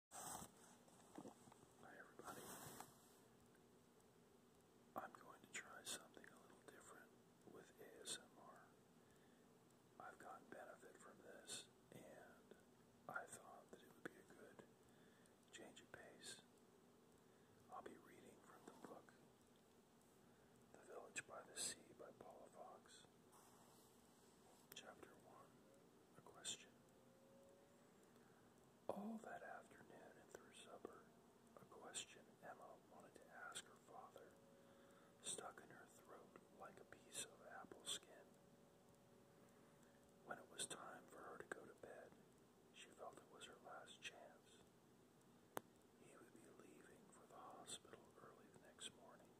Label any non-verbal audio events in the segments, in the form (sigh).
Hi everybody. I'm going to try something a little different with ASMR. I've gotten benefit from this and I thought that it would be a good change of pace. I'll be reading from the book The Village by the Sea by Paula Fox. Chapter 1 A Question All that afternoon and through supper, a question Emma wanted to ask her father stuck in her throat like a piece of apple skin. When it was time for her to go to bed, she felt it was her last chance. He would be leaving for the hospital early the next morning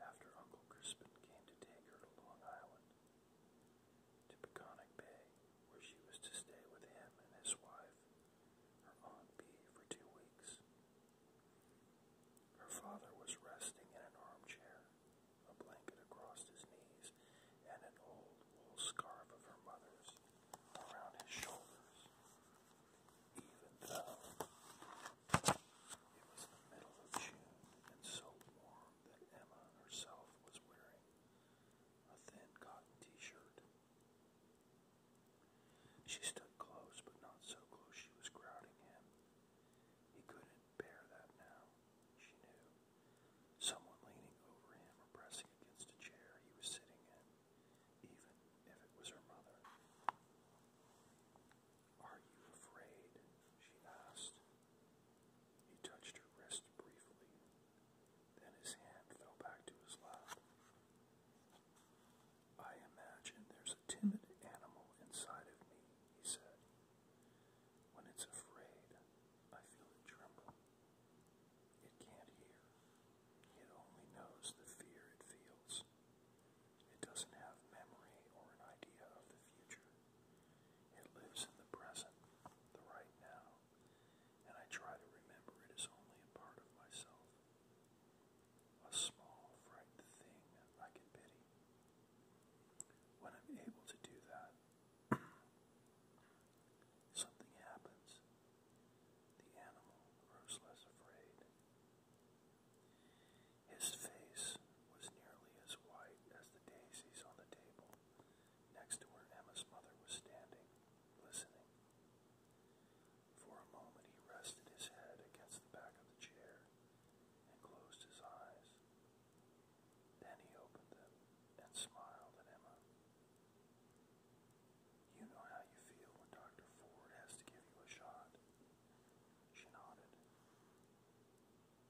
after Uncle Crispin came to take her to Long Island to Peconic Bay, where she was to stay with him and his wife, her Aunt B, for two weeks. Her father was resting in an armchair, a blanket across his knees, and an old wool scarf of her mother's around his shoulders. Even though it was the middle of June and so warm that Emma herself was wearing a thin cotton t shirt. She stood close, but not so close she was crowding him. He couldn't bear that now, she knew. Someone leaning over him or pressing against a chair he was sitting in, even if it was her mother. Are you afraid? she asked. He touched her wrist briefly. Then his hand fell back to his lap. I imagine there's a timid animal inside of me, he said. When it's afraid, I feel it tremble. It can't hear. It only knows the fear it feels. It doesn't have memory or an idea of the future. It lives in the present, the right now, and I try to remember it is only a part of myself. A small, frightened thing I can pity. When I'm able to do that, (clears throat) something happens. The animal grows less afraid. His face was nearly as white as the daisies on the table next to where Emma's mother was standing, listening. For a moment he rested his head against the back of the chair and closed his eyes. Then he opened them and smiled at Emma. You know how you feel when Dr. Ford has to give you a shot. She nodded.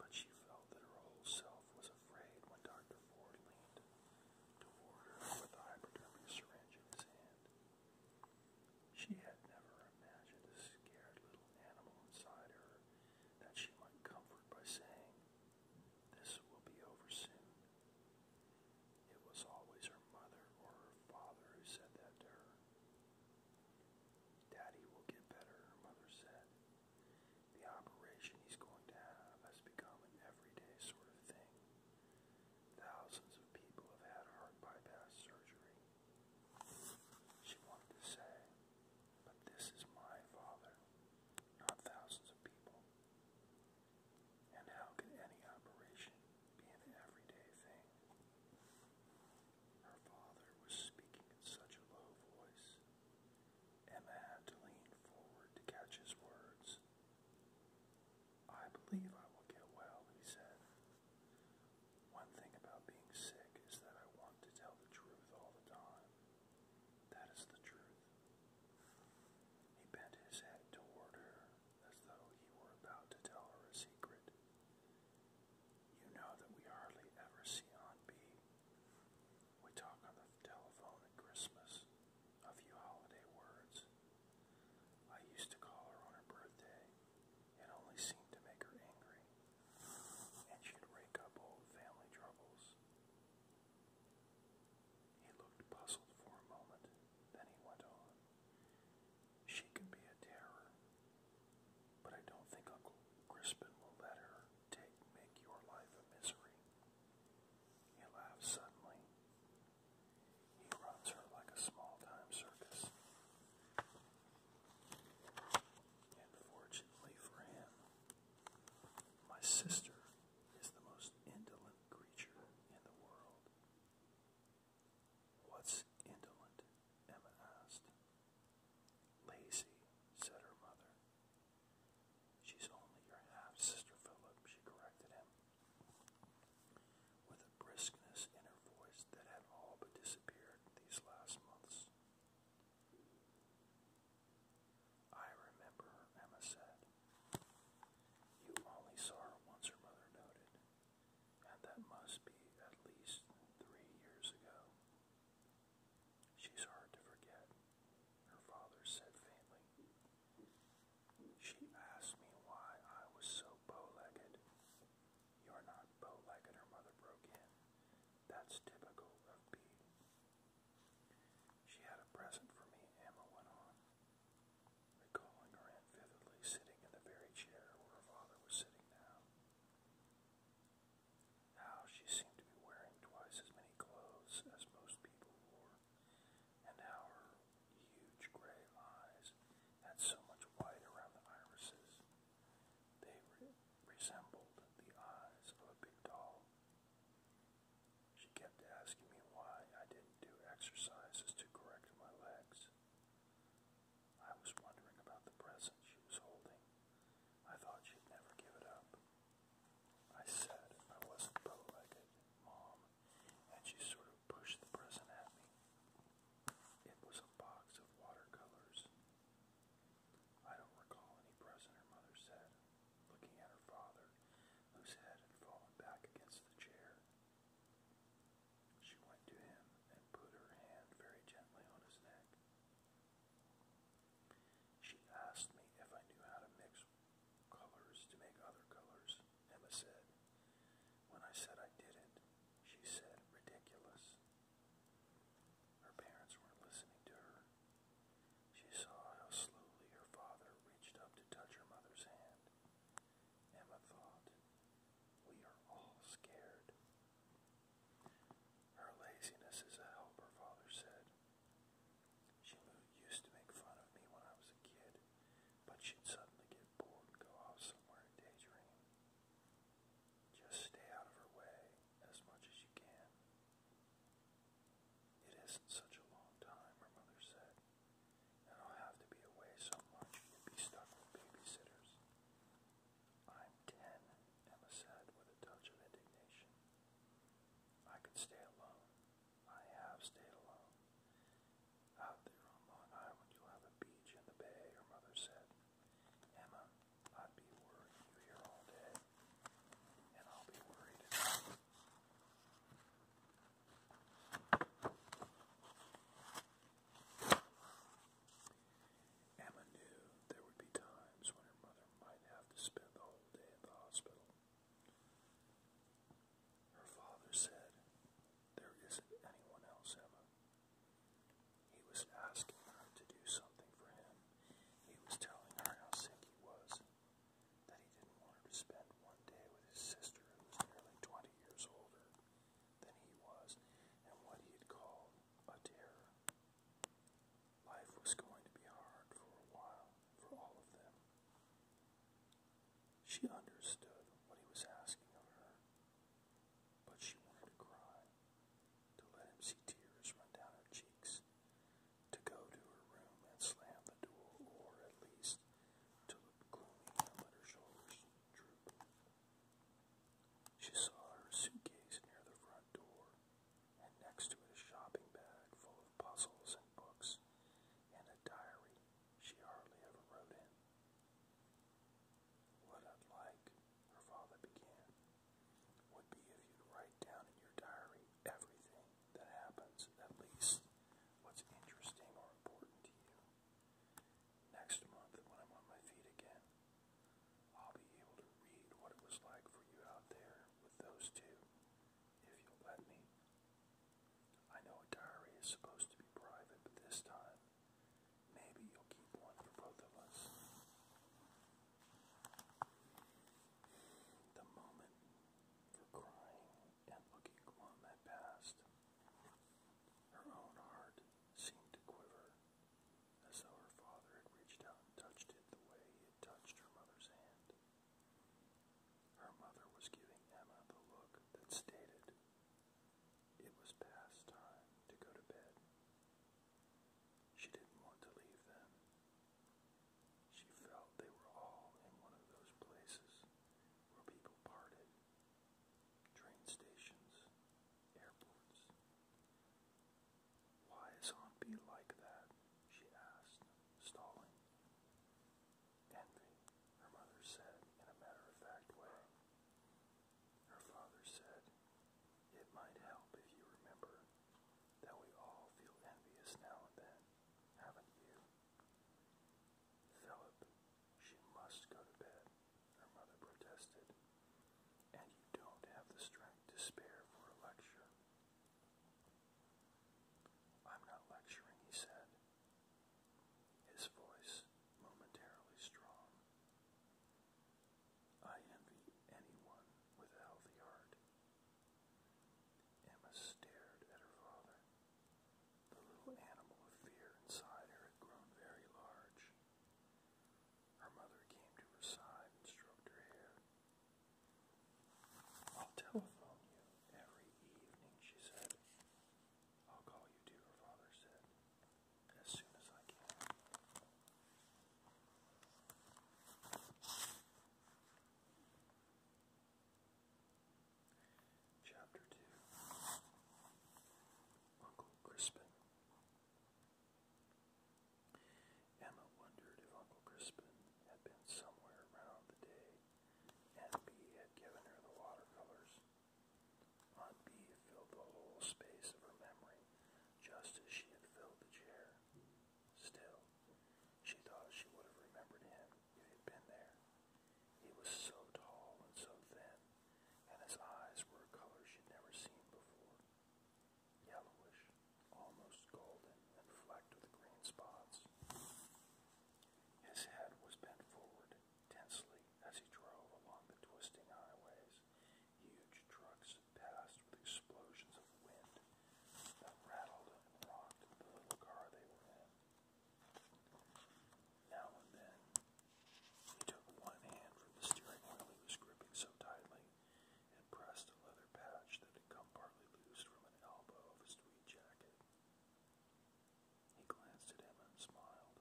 But she felt that her whole self was afraid when Dr. Ford leaned toward her with the hypodermic syringe in his hand. She had never imagined the scared little animal inside her that she might comfort by saying, This will be over soon. It was always her mother or her father who said that to her. Daddy will get better, mother said. The operation he's going to have has become an everyday sort of thing. Thousands of people have had heart bypass surgery. She wanted to say, but this is my father, not thousands of people. And how can any operation be an everyday thing? Her father was speaking in such a low voice. Emma had to lean forward to catch his words. I believe I will get well, he said. One thing about being sick is that I want to tell the truth all the time. That is the truth. He bent his head toward her as though he were about to tell her a secret. You know that we hardly ever see Aunt B. We talk on the telephone at Christmas a few holiday words. I used to call her on her birthday. It only seemed to make her angry, and she'd rake up old family troubles. He looked puzzled for a moment, then he went on. She can be a terror, but I don't think Uncle Crispin will let her take make your life a misery. He laughs suddenly. He runs her like a small-time circus. And for him, my sister is the most indolent creature in the world. What's indolent? Emma asked. Lazy, said her mother. She's only your half sister, Philip, she corrected him, with a briskness in her voice that had all but disappeared these last months. I remember Emma said. You only saw her once, her mother noted and that must be at least three years ago. She's hard to forget, her father said faintly. She asked me why I was so bow-legged. You're not bow-legged, her mother broke in. That's typical of B. She had a present for me, Emma went on, recalling her aunt vividly sitting in the very chair where her father was sitting sitting she seemed to be wearing twice as many clothes as most people wore, and how her huge gray eyes had so much white around the irises. They resembled the eyes of a big doll. She kept asking me why I didn't do exercises to correct my legs. I was wondering about the present she was holding. I thought she'd never give it up. I said I wasn't bow-legged, Mom, and she sort of pushed the present at me. It was a box of watercolors. I don't recall any present, her mother said, looking at her father, whose head had fallen back against the chair. She went to him and put her hand very gently on his neck. She asked me if I knew how to mix colors to make other colors, Emma said. When I said I didn't, she said, ridiculous. Her parents weren't listening to her. She saw how slowly her father reached up to touch her mother's hand. Emma thought, we are all scared. Her laziness is a help, her father said. She used to make fun of me when I was a kid, but she'd suddenly get bored and go off somewhere and daydream. Just stay out of her way as much as you can. It isn't such a long time, her mother said. I'll have to be away so much you would be stuck with babysitters. I'm ten, Emma said with a touch of indignation. I could stay alone. I have stayed alone. Out there on Long Island you have a beach and the bay, her mother said. Emma, I'd be worried you here all day. And I'll be worried Emma knew there would be times when her mother might have to spend the whole day at the hospital. Her father said, There isn't anyone else, Emma. He was asking her to do something for him. He was telling her how sick he was, that he didn't want her to spend one day with his sister who was nearly 20 years older, than he was and what he had called a terror. Life was going to be hard for a while for all of them. She understood what he was asking of her, but she wanted to cry, to let him see tears run down her cheeks, to go to her room and slam the door, or at least to look gloomily over her shoulders. She saw her suitcase near the front door, and next to it a shopping bag full of puzzles and books, and a diary she hardly ever wrote in. What I'd like, her father began, would be if you write down in your diary everything that happens, at least what's interesting or important to you. Next month, when I'm on my feet again, I'll be able to read what it was like for you out there with those two, if you'll let me. I know a diary is supposed to be private, but this time, maybe you'll keep one for both of us. The moment for crying and looking glum had passed. Her own heart seemed to quiver, as though her father had reached out and touched it the way he had touched her mother's hand. Her mother was giving Emma the look that stated it was past time to go to bed. She didn't want to leave them. She felt they were all in one of those places where people parted train stations, airports. Why is Auntie like that? she asked, stalling. Envy, her mother said in a matter of fact way. Her father said, It might help if you remember that we all feel envious now and then, haven't you? Philip, she must go to bed, her mother protested. And you don't have the strength to spare for a lecture. I'm not lecturing, he said, his voice momentarily strong. I envy anyone with a healthy heart. Emma stared at her father. The little animal of fear inside her had grown very large. Her mother came to her side and stroked her hair. I'll telephone you every evening, she said. I'll call you too, father said, as soon as I can. Chapter 2 Uncle Crispin. Emma wondered if Uncle Crispin had been somewhere around the day Aunt B had given her the watercolors. Aunt B filled the whole space of her memory just as she had filled the chair. Still, she thought she would have remembered him if he had been there. He was so tall and so thin, and his eyes were a color she'd never seen before. Yellowish, almost golden, and flecked with green spots. His head was bent forward tensely as he drove along the twisting highways. Huge trucks passed with explosions of wind that rattled and rocked the little car they were in. Now and then, he took one hand from the steering wheel he was gripping so tightly and pressed a leather patch that had come partly loose from an elbow of his tweed jacket. He glanced at him and smiled.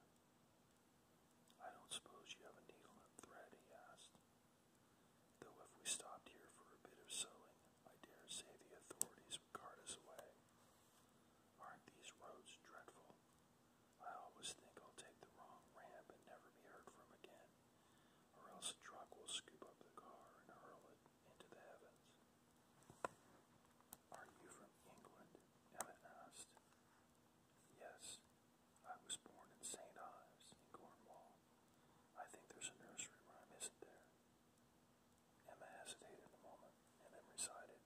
I don't suppose you have a needle and thread, he asked. Though if we stopped here for a bit of sewing, I dare say the authorities would cart us away. Aren't these roads dreadful? I always think I'll take the wrong ramp and never be heard from again, or else a truck will scoop up the car and hurl it into the heavens. Are you from England? Emma asked. Yes, I was born in St. Ives, in Cornwall. I think there's a nursery rhyme, isn't there? Emma hesitated a moment and then recited.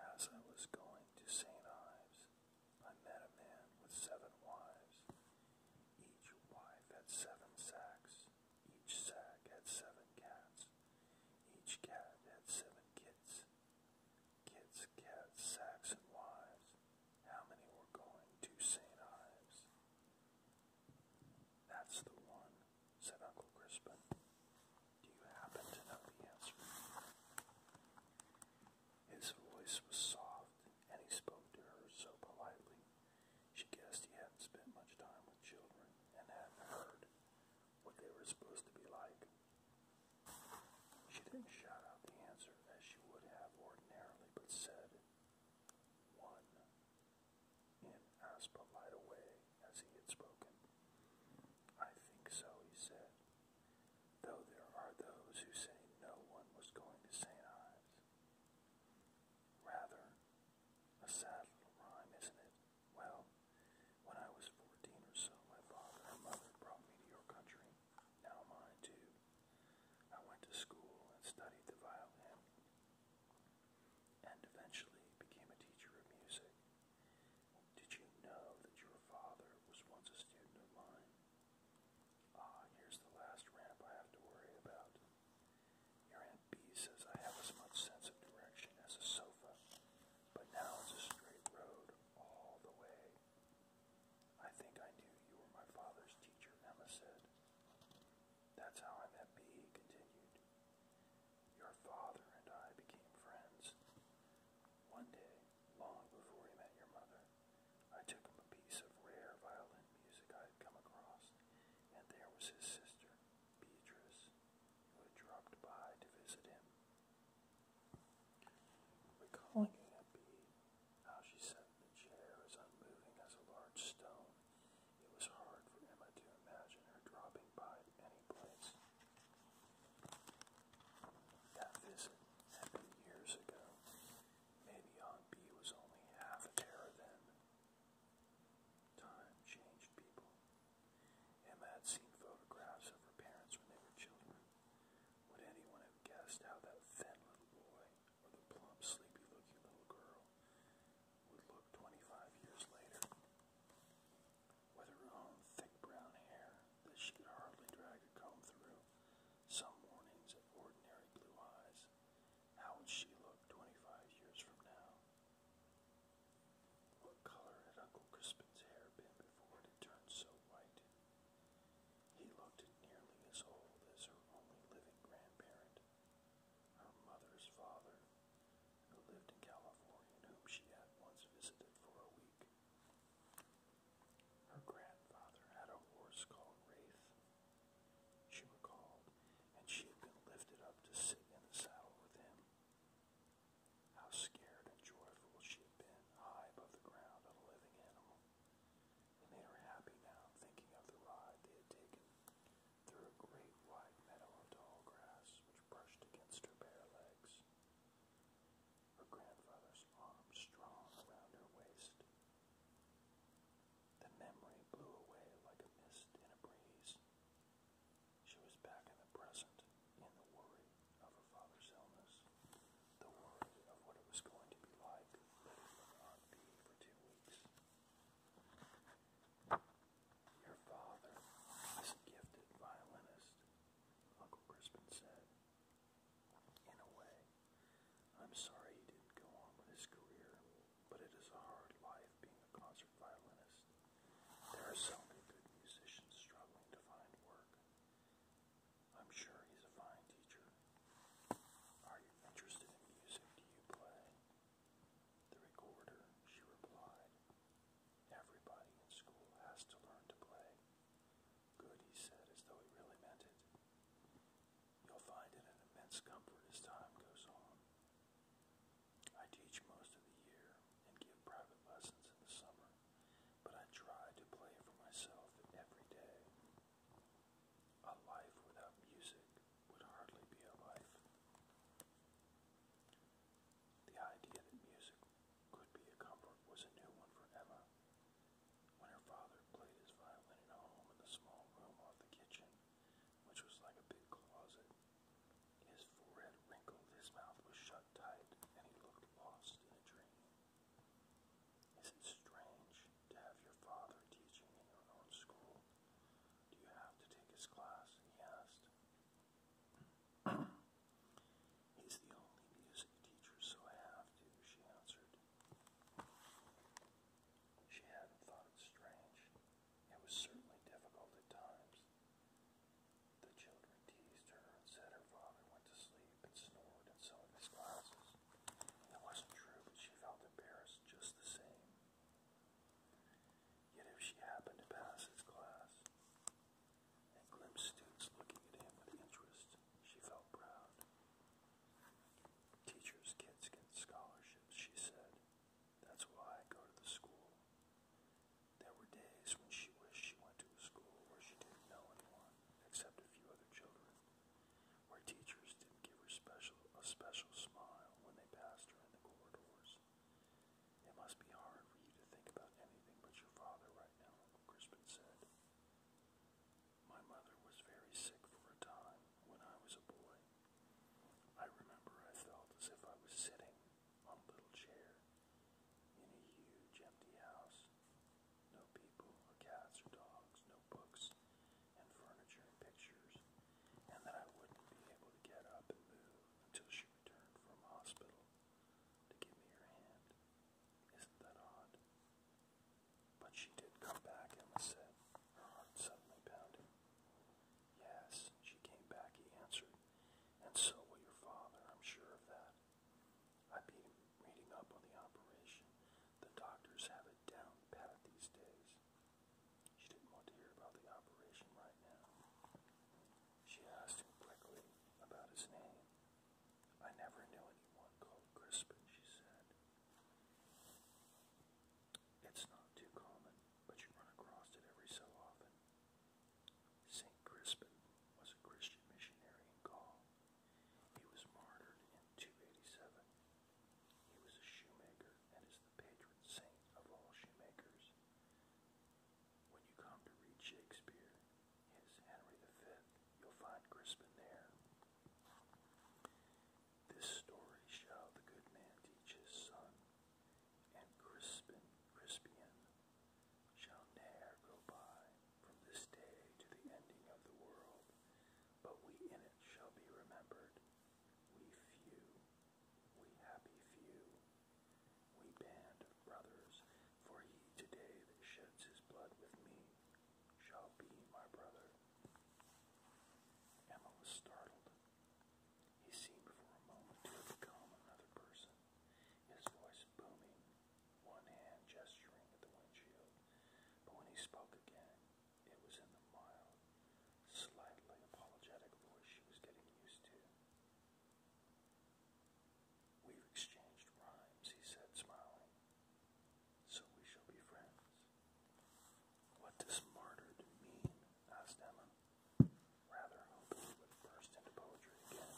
As I was going to St. Ives, I met a man with seven wives. Each wife had seven sacks. Each sack had seven cats. Each cat had seven kits. Kits, cats, sacks, and wives. How many were going to St. Ives? That's the one said Uncle Crispin. Do you happen to know the answer? His voice was soft, and he spoke to her so politely. She guessed he hadn't spent much time with children and hadn't heard what they were supposed to be like. She didn't shout out the answer as she would have ordinarily, but said, One and Aspa lied away as he had spoken. I think so, he said, though there are those who say no one was going to St. Ives. Rather, a sad little rhyme, isn't it? Well, when I was fourteen or so, my father and mother brought me to your country, now mine too. I went to school and studied the violin and eventually became a teacher of music. Did you know that your father was once a student of mine? Ah, here's the last ramp I have to worry about. Your Aunt B says I have as much sense of direction as a sofa, but now it's a straight road all the way. I think I knew you were my father's teacher, Emma said. That's how I met B, he continued. Your father and I became friends. One day, long before he met your mother, I took him a piece of rare violin music I had come across, and there was his sister, Beatrice, who had dropped by to visit him. Recalling A and how she sat in the chair as unmoving as a large stone, it was hard for Emma to imagine her dropping by any place. That visit had years ago. Maybe Aunt B was only half a terror then. Time changed people. Emma had seen photographs of her parents when they were children. Would anyone have guessed how that thin little boy or the plump, sleepy looking little girl would look 25 years later. With her own thick brown hair that she could hardly drag a comb through, some mornings ordinary blue eyes, how would she look 25 years from now? What color had Uncle Crispin's hair been before it turned so white? He looked nearly as old as her only living grandparent, her mother's father, who lived in California and whom she had once visited for a week. Her grandfather had a horse called Wraith, she recalled, and she had been lifted up to sit in the saddle with him. How scared and joyful she had been, high above the ground a living animal. It made her happy now, thinking of the ride they had taken through a great wide meadow of tall grass which brushed against her bare legs. Her grandfather's arm strong around her waist. The memory blew away like a mist in a breeze. She was back in the present, in the worry of her father's illness, the worry of what it was going to be like living with Aunt Bee for two weeks. Your father is a gifted violinist, Uncle Crispin said. In a way, I'm sorry he didn't go on with his career, but it is a hard life being a concert violinist. There are so many good musicians struggling to find work. I'm sure he's a fine teacher. Are you interested in music? Do you play? The recorder, she replied. Everybody in school has to learn to play. Good, he said, as though he really meant it. You'll find it an immense comfort as time goes on. I teach most of the year and give private lessons in the summer, but I try to play for myself every day. A life without music would hardly be a life. The idea that music could be a comfort was a new one for Emma. When her father played his violin in the small room off the kitchen, which was like a big closet, his forehead wrinkled, his mouth was shut tight, and he looked lost in a dream. Is it strange to have your father teaching in your own school. Do you have to take his class? He asked. (clears throat) He's the only music teacher, so I have to, she answered. She hadn't thought it strange. It was certainly difficult at times. The children teased her and said her father went to sleep and snored in some of his classes. It wasn't true, but she felt embarrassed just the same. Yet if she happened to pass his class and glimpsed students looking at him with interest, she felt proud. Teachers' kids get scholarships, she said. That's why I go to the school. There were days when she wished she went to a school where she didn't know anyone except a few other children where teachers didn't give her special a special smile when they passed her in the corridors. It must be hard for you to think about anything but your father right now, Uncle Crispin said. My mother was very sick for a time when I was a boy. I remember I felt as if I was sitting on a little chair in a huge empty house. No people or cats or dogs, no books and furniture and pictures, and that I wouldn't be able to get up and move until she returned from hospital to give me her hand. Isn't that odd? But she did come back, Emma said, her heart suddenly pounding. Yes, she came back, he answered, and so will your father, I'm sure of that. I beat him reading up on the operation. The doctors have it down pat these days. She didn't want to hear about the operation right now. She asked him quickly about his name. I never knew anyone called Crispin, she said. It's not too common, but you run across it every so often. St. Crispin was a Christian missionary Gaul. He was martyred in 287 he was a shoemaker and is the patron saint of all shoemakers. When you come to read Shakespeare, his Henry V, you'll find Crispin there. This story shall the good man teach his son, and Crispin, Crispian, shall ne'er go by from this day to the ending of the world, but we in it shall be remembered. We few, we happy few, we band of brothers, for he today that sheds his blood with me shall be my brother. Emma was startled. He seemed for a moment to have become another person, his voice booming, one hand gesturing at the windshield. But when he spoke again, it was in the mild, slightly apologetic voice she was getting used to. we exchanged rhymes, he said, smiling. So we shall be friends. What does martyred mean? asked Emma, rather hoping he would burst into poetry again.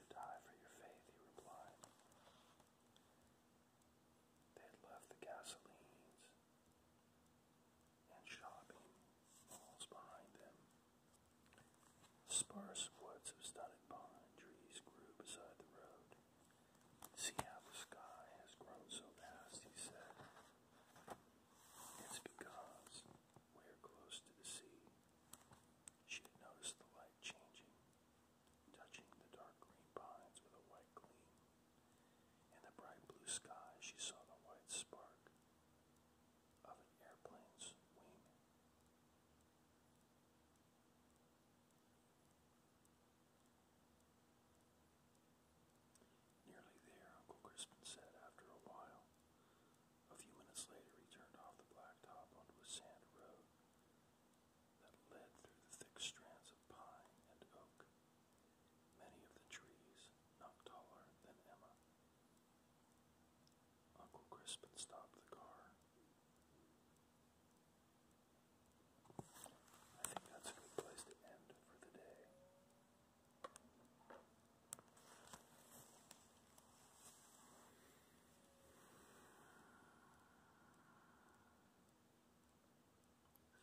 To die for your faith, he replied. They had left the gasolines and shopping malls behind them. Sparse woods of stunted pine trees grew beside the road. See how the sky has grown so vast, he said. It's because we're close to the sea. She had noticed the light changing touching the dark green pines with a white gleam. In the bright blue sky, she saw the white spark of an airplane's wing. Nearly there, Uncle Crispin said after a while. A few minutes later, he turned off the blacktop onto a sand road that led through the thick strands of pine and oak. Many of the trees not taller than Emma. Uncle Crispin stopped the car. I think that's a good place to end for the day.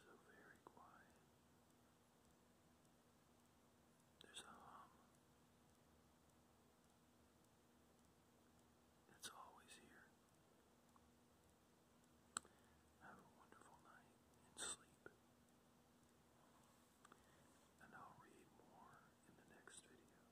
So very quiet. There's a hum. It's always here. Have a wonderful night and sleep. And I'll read more in the next video.